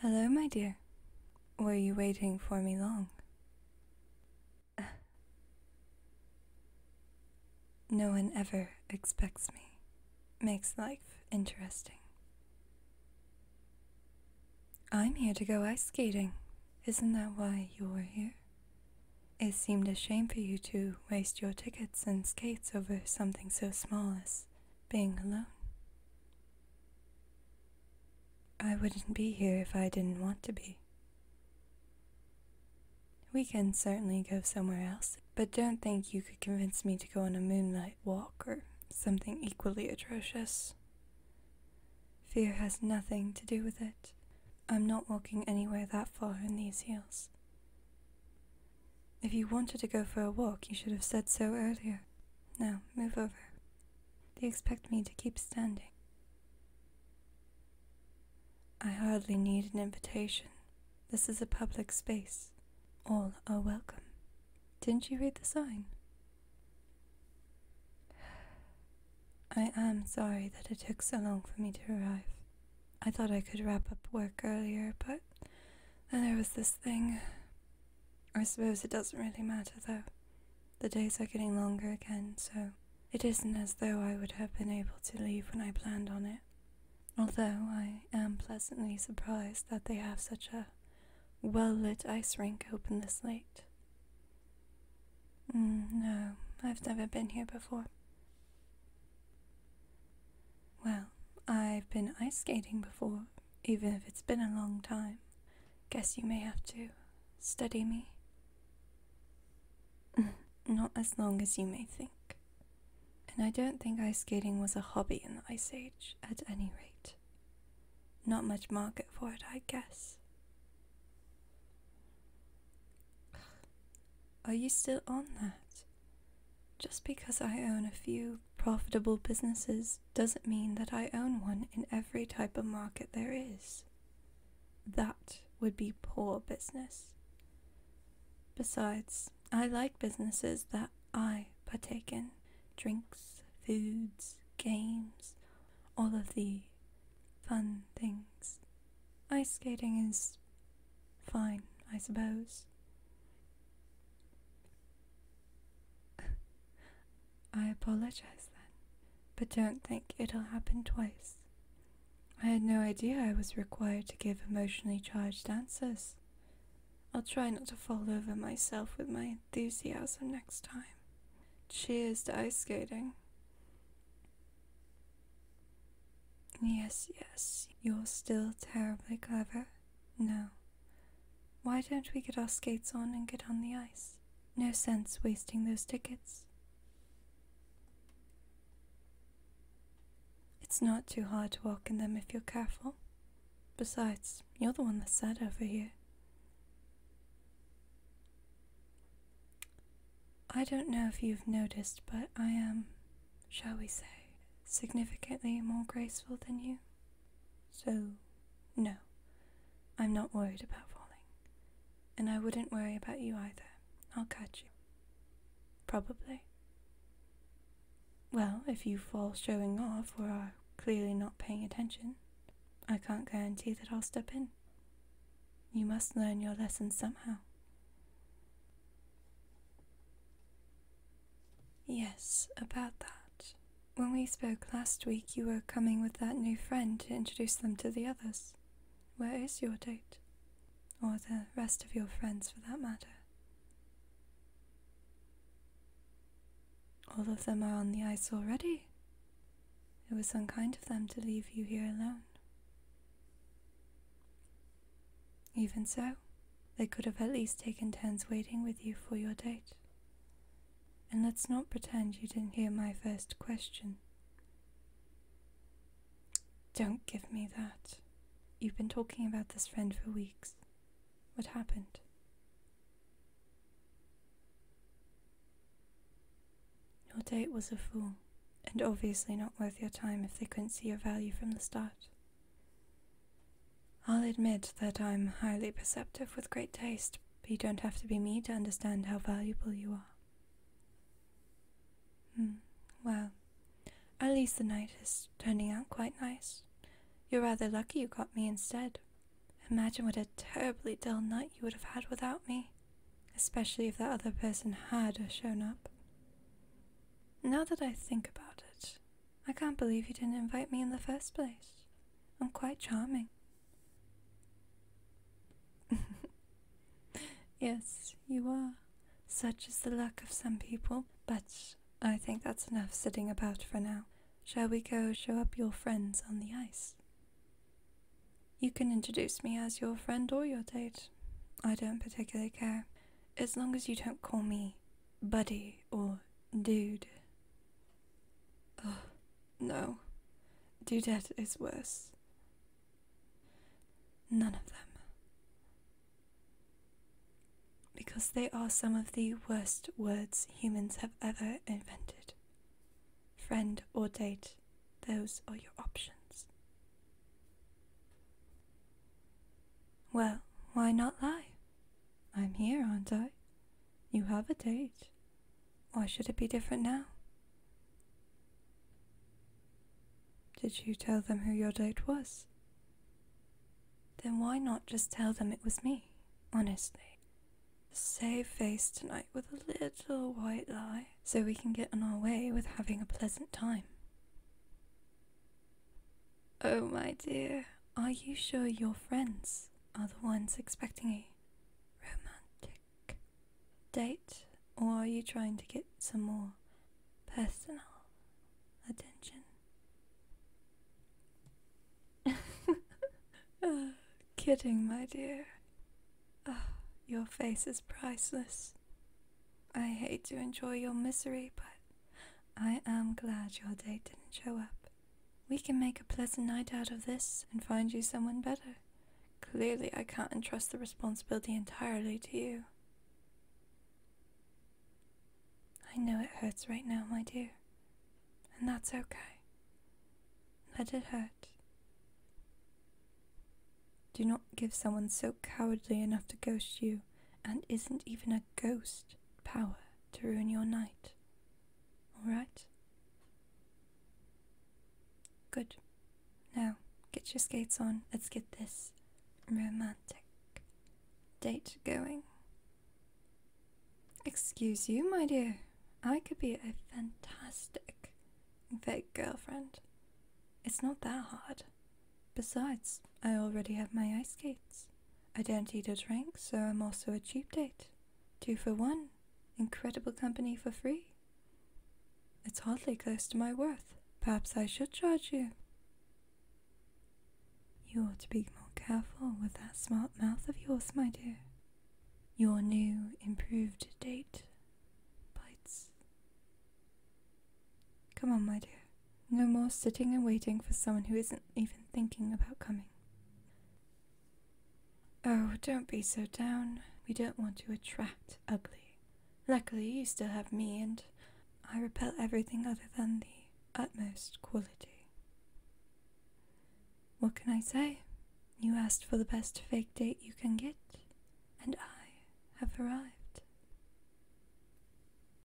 Hello, my dear. Were you waiting for me long? no one ever expects me. Makes life interesting. I'm here to go ice skating. Isn't that why you were here? It seemed a shame for you to waste your tickets and skates over something so small as being alone. I wouldn't be here if I didn't want to be. We can certainly go somewhere else, but don't think you could convince me to go on a moonlight walk or something equally atrocious. Fear has nothing to do with it. I'm not walking anywhere that far in these hills. If you wanted to go for a walk, you should have said so earlier. Now, move over. They expect me to keep standing. I hardly need an invitation. This is a public space. All are welcome. Didn't you read the sign? I am sorry that it took so long for me to arrive. I thought I could wrap up work earlier, but then there was this thing. I suppose it doesn't really matter though. The days are getting longer again, so it isn't as though I would have been able to leave when I planned on it. Although I am pleasantly surprised that they have such a well lit ice rink open this late. Mm, no, I've never been here before. Well, I've been ice skating before, even if it's been a long time. Guess you may have to study me. Not as long as you may think. And I don't think ice skating was a hobby in the Ice Age, at any rate. Not much market for it, I guess. Are you still on that? Just because I own a few profitable businesses doesn't mean that I own one in every type of market there is. That would be poor business. Besides, I like businesses that I partake in drinks, foods, games, all of the fun things. Ice skating is fine, I suppose. I apologize then, but don't think it'll happen twice. I had no idea I was required to give emotionally charged answers. I'll try not to fall over myself with my enthusiasm next time. Cheers to ice skating. Yes, yes, you're still terribly clever. No, why don't we get our skates on and get on the ice? No sense wasting those tickets. It's not too hard to walk in them if you're careful. Besides, you're the one that's sad over here. I don't know if you've noticed, but I am shall we say, significantly more graceful than you. So, no, I'm not worried about falling. And I wouldn't worry about you either. I'll catch you. Probably. Well, if you fall showing off or are clearly not paying attention, I can't guarantee that I'll step in. You must learn your lesson somehow. Yes, about that. When we spoke last week, you were coming with that new friend to introduce them to the others. Where is your date? Or the rest of your friends, for that matter? All of them are on the ice already. It was unkind of them to leave you here alone. Even so, they could have at least taken turns waiting with you for your date. And let's not pretend you didn't hear my first question. Don't give me that. You've been talking about this friend for weeks. What happened? Your date was a fool, and obviously not worth your time if they couldn't see your value from the start. I'll admit that I'm highly perceptive with great taste, but you don't have to be me to understand how valuable you are. Hmm, well, at least the night is turning out quite nice. You're rather lucky you got me instead. Imagine what a terribly dull night you would have had without me, especially if that other person had shown up. Now that I think about it, I can't believe you didn't invite me in the first place. I'm quite charming. yes, you are. Such is the luck of some people. But I think that's enough sitting about for now. Shall we go show up your friends on the ice? You can introduce me as your friend or your date. I don't particularly care, as long as you don't call me buddy or dude. Oh, no. dude. is worse. None of them. Because they are some of the worst words humans have ever invented. Friend or date, those are your options. Well, why not lie? I'm here, aren't I? You have a date. Why should it be different now? Did you tell them who your date was? Then why not just tell them it was me, honestly? save face tonight with a little white lie so we can get on our way with having a pleasant time. Oh, my dear, are you sure your friends are the ones expecting a romantic date, or are you trying to get some more personal attention? oh, kidding, my dear. Oh, your face is priceless. I hate to enjoy your misery, but I am glad your date didn't show up. We can make a pleasant night out of this and find you someone better. Clearly, I can't entrust the responsibility entirely to you. I know it hurts right now, my dear, and that's okay. Let it hurt. Do not give someone so cowardly enough to ghost you and isn't even a ghost power to ruin your night. Alright? Good. Now, get your skates on. Let's get this romantic date going. Excuse you, my dear. I could be a fantastic fake girlfriend. It's not that hard. Besides, I already have my ice skates. I don't eat or drink, so I'm also a cheap date. Two for one, incredible company for free. It's hardly close to my worth. Perhaps I should charge you. You ought to be more careful with that smart mouth of yours, my dear. Your new, improved date bites. Come on, my dear. No more sitting and waiting for someone who isn't even thinking about coming. Oh, don't be so down. We don't want to attract ugly. Luckily, you still have me, and I repel everything other than the utmost quality. What can I say? You asked for the best fake date you can get, and I have arrived.